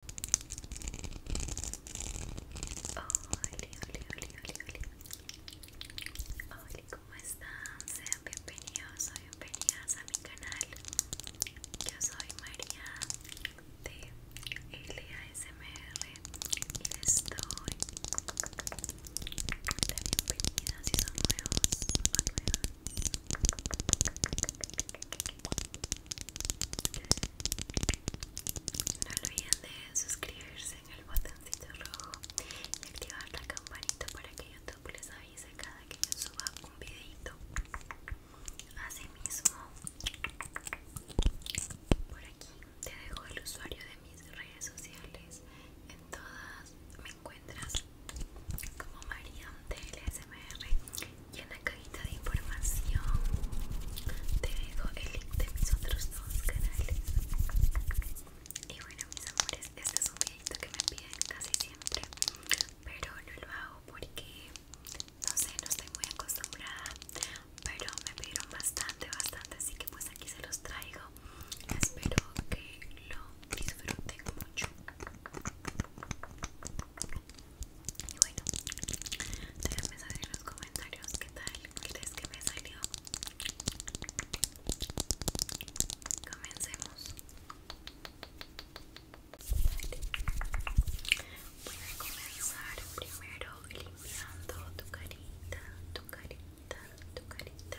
Hola, hola, hola, Hola, ¿cómo Sean bienvenidos soy bienvenidas a mi canal. Yo soy María de LASMR y les doy bienvenida si son nuevos no olviden de suscribirse en el botoncito rojo y activar la campanita para que YouTube les avise cada que yo suba un videito. Asimismo, por aquí te dejo el usuario de mis redes sociales. En todas me encuentras como María LSMR y en la cajita de información te dejo el link de mis otros dos canales y bueno mis amores este es un videito que me piden casi siempre pero no lo hago porque no sé no estoy muy acostumbrada pero me pidieron bastante bastante así que pues aquí se los traigo espero que lo disfruten mucho y bueno, déjame saber en los comentarios qué tal crees que me salió. Comencemos. Voy a comenzar primero limpiando tu carita, tu carita, tu carita.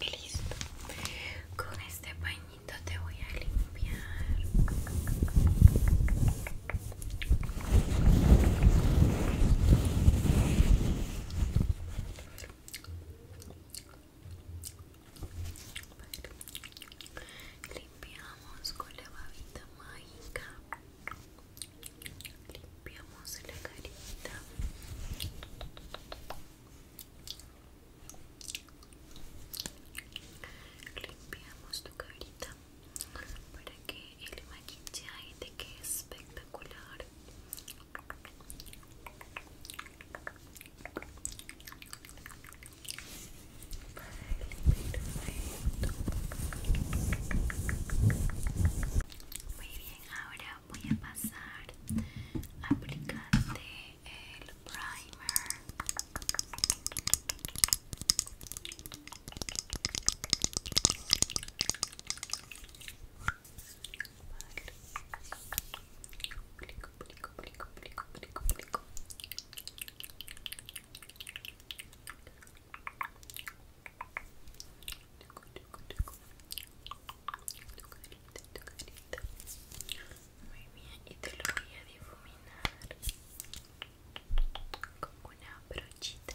Listo. Con este pañito te voy a limpiar. Limpiamos con la babita mágica. Limpiamos la carita. Limpiamos tu carita para que el maquillaje te quede espectacular. Muy bien, ahora voy a pasar a aplicarte el primer. y te lo voy a difuminar con una brochita.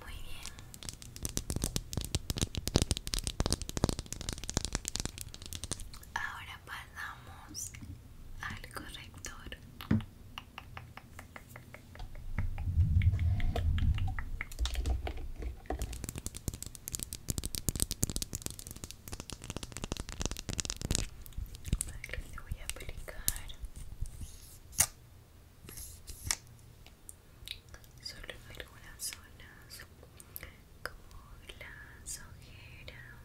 Muy bien. Ahora pasamos al corrector le voy a aplicar solo en algunas zonas como las ojeras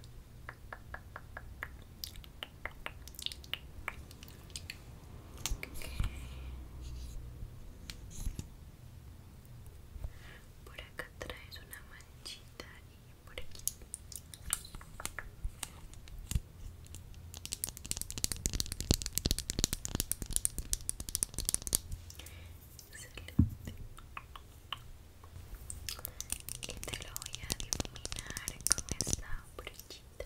por acá traes una manchita por aquí excelente y te lo voy a difuminar con esta brochita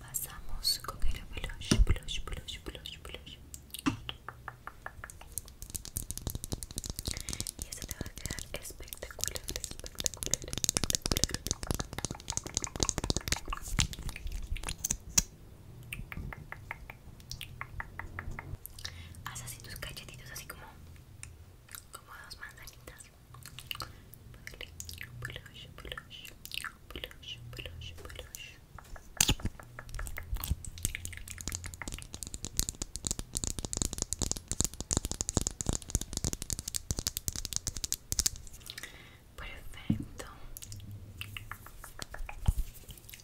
pasamos con el blush blush blush blush blush y eso te va a quedar espectacular espectacular espectacular haz así tus cachetitos así como como dos manzanitas blush blush blush, Perfecto.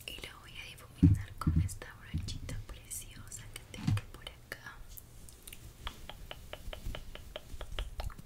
Y lo voy a difuminar con esta brochita preciosa que tengo por acá.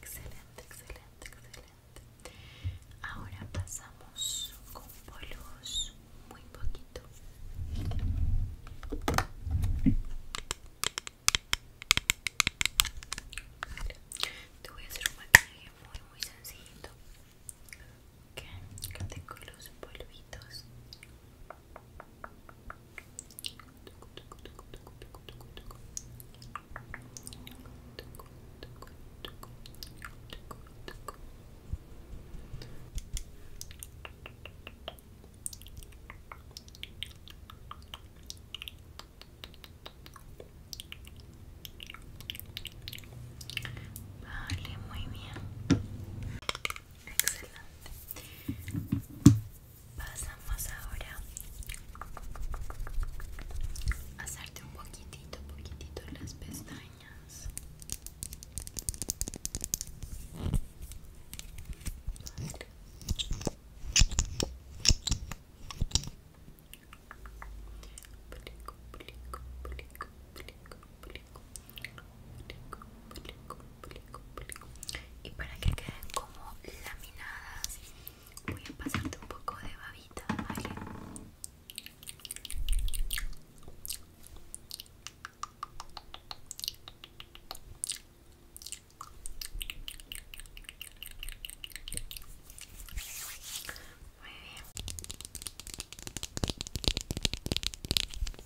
Excelente, excelente, excelente. Ahora pasamos con polvos muy poquito. Te voy a hacer un maquillaje muy muy sencillito. tengo los polvitos Vale, muy bien. Excelente. Pasamos ahora a hacerte un poquitito, poquitito las pestañas y para que queden como laminadas voy a pasarte un poco de babita vale muy bien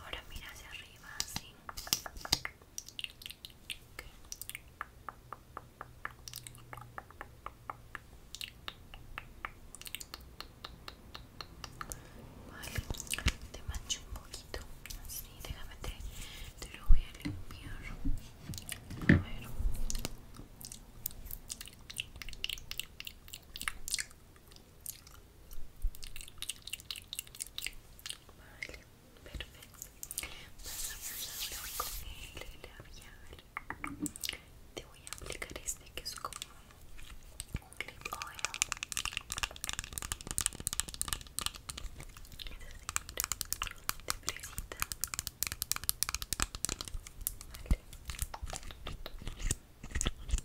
Ahora mira hacia arriba, así. Vale, te mancho un poquito. Así, déjame te, te lo voy a limpiar. A Vale, perfeito. Pasamos ahora con el labial. Te voy a aplicar este que es como un clip oil. Es así, mira, de fresita. Vale.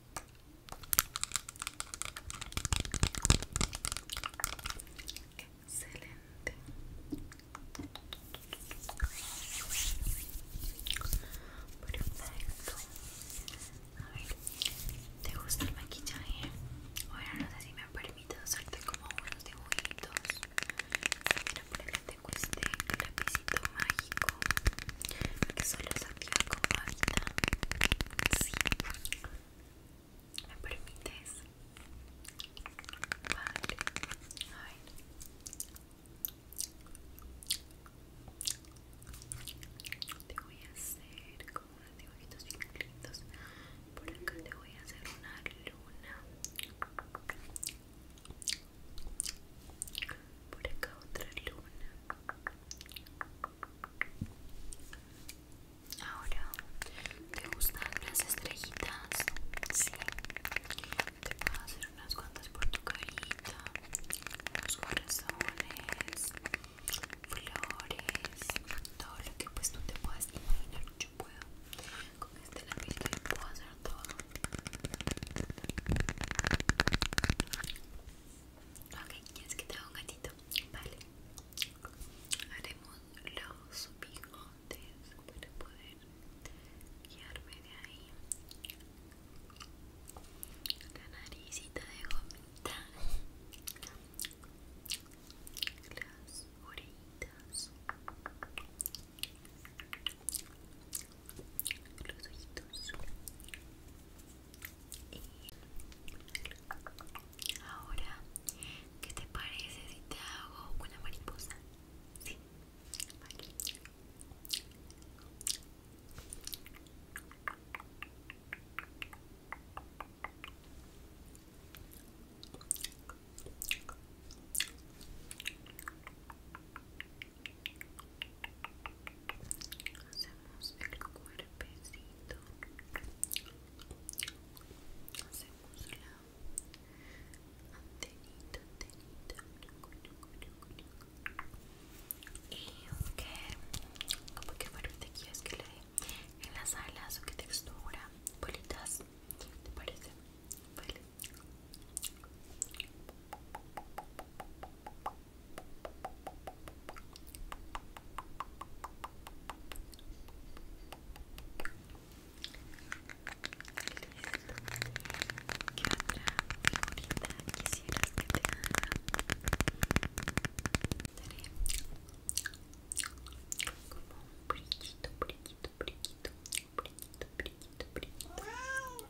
Excelente. Perfecto. A ver, ¿te gusta el maquillaje? Ahora no sé si me permite hacerte como unos dibujitos. Mira, por acá tengo este lapicito mágico que solo ¿Me permites? Vale. A ver. Te voy a hacer con unos dibujitos bien lindos. Por acá te voy a hacer una luna. Por acá otra luna. Ahora, ¿te gustan las estrellitas? Sí. Te puedo hacer unas cuantas por tu carita, unos corazones, flores, todo lo que pues tú te puedas imaginar. Yo puedo con este lápiz te puedo hacer todo. Ok, es que te un gatito? Vale. Haremos los bigotes para poder guiarme de ahí. La naricita de gomita. Las orejitas. Los ojitos ahora, ¿qué te parece si te hago una mariposa? hacemos el cuerpecito hacemos la antenita antenita y aunque como que fueron aquí quieres que le dé en las alas o qué textura bolitas te parece vale quisieras que te haga? como un brillito, brillito, brillito, brillito, brillito, brillito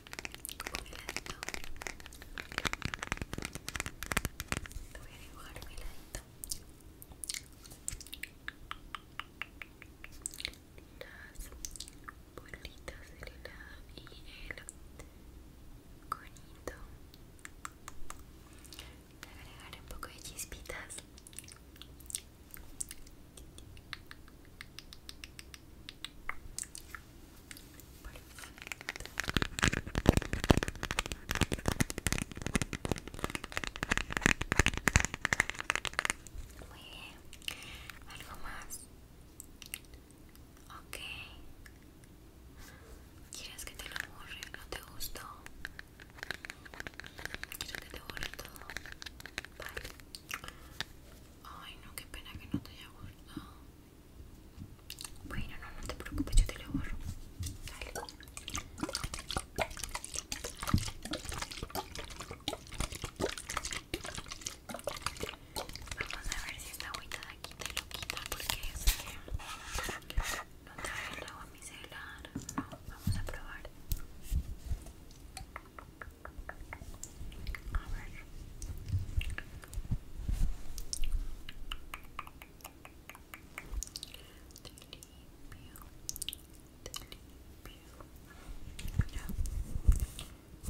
un heladito voy a dibujar un heladito las bolitas de helado y el conito voy a agregar un poco de chispitas muy bien. ¿Algo más? Ok. ¿Quieres que te lo borre? ¿No te gustó? ¿Quieres que te borre todo? Vale. Ay, no, qué pena que no te haya gustado. Bueno, no, no te preocupes, yo te lo borro. Dale. Vamos a ver si esta agüita de aquí te lo quita porque es que no trae el agua micelar. No, vamos a probar. A ver. Te limpio. Te limpio. Mira.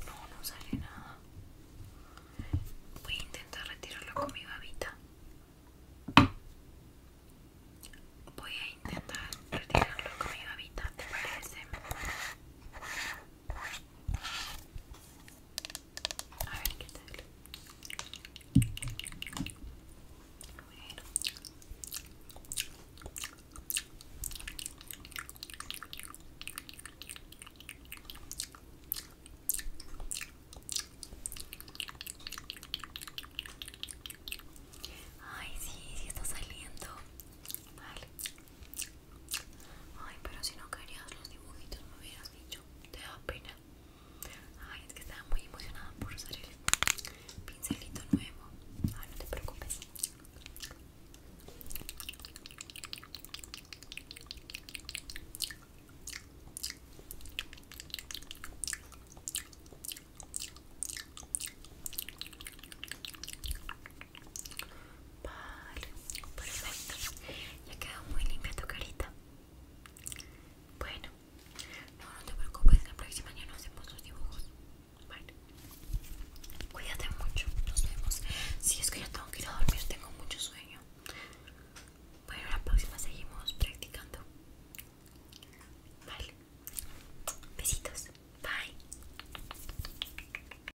No, no sale nada. Voy a intentar retirarlo con mi babita. Voy a intentar retirarlo con mi babita, ¿te parece? A ver qué tal. Ay, sí, sí está saliendo. Vale. Ay, pero si no querías los dibujitos me hubieras dicho, te da pena. Ay, es que estaba muy emocionada por usar el pincelito nuevo. Ay, ah, no te preocupes. Vale, perfecto. Ya quedó muy limpia tu carita. Bueno, no, te preocupes, la próxima ya hacemos los dibujos. Vale. Cuídate mucho, nos vemos. Si es que yo tengo que ir a dormir, tengo mucho sueño. Bueno, la próxima seguimos practicando. Vale. Besitos. Bye.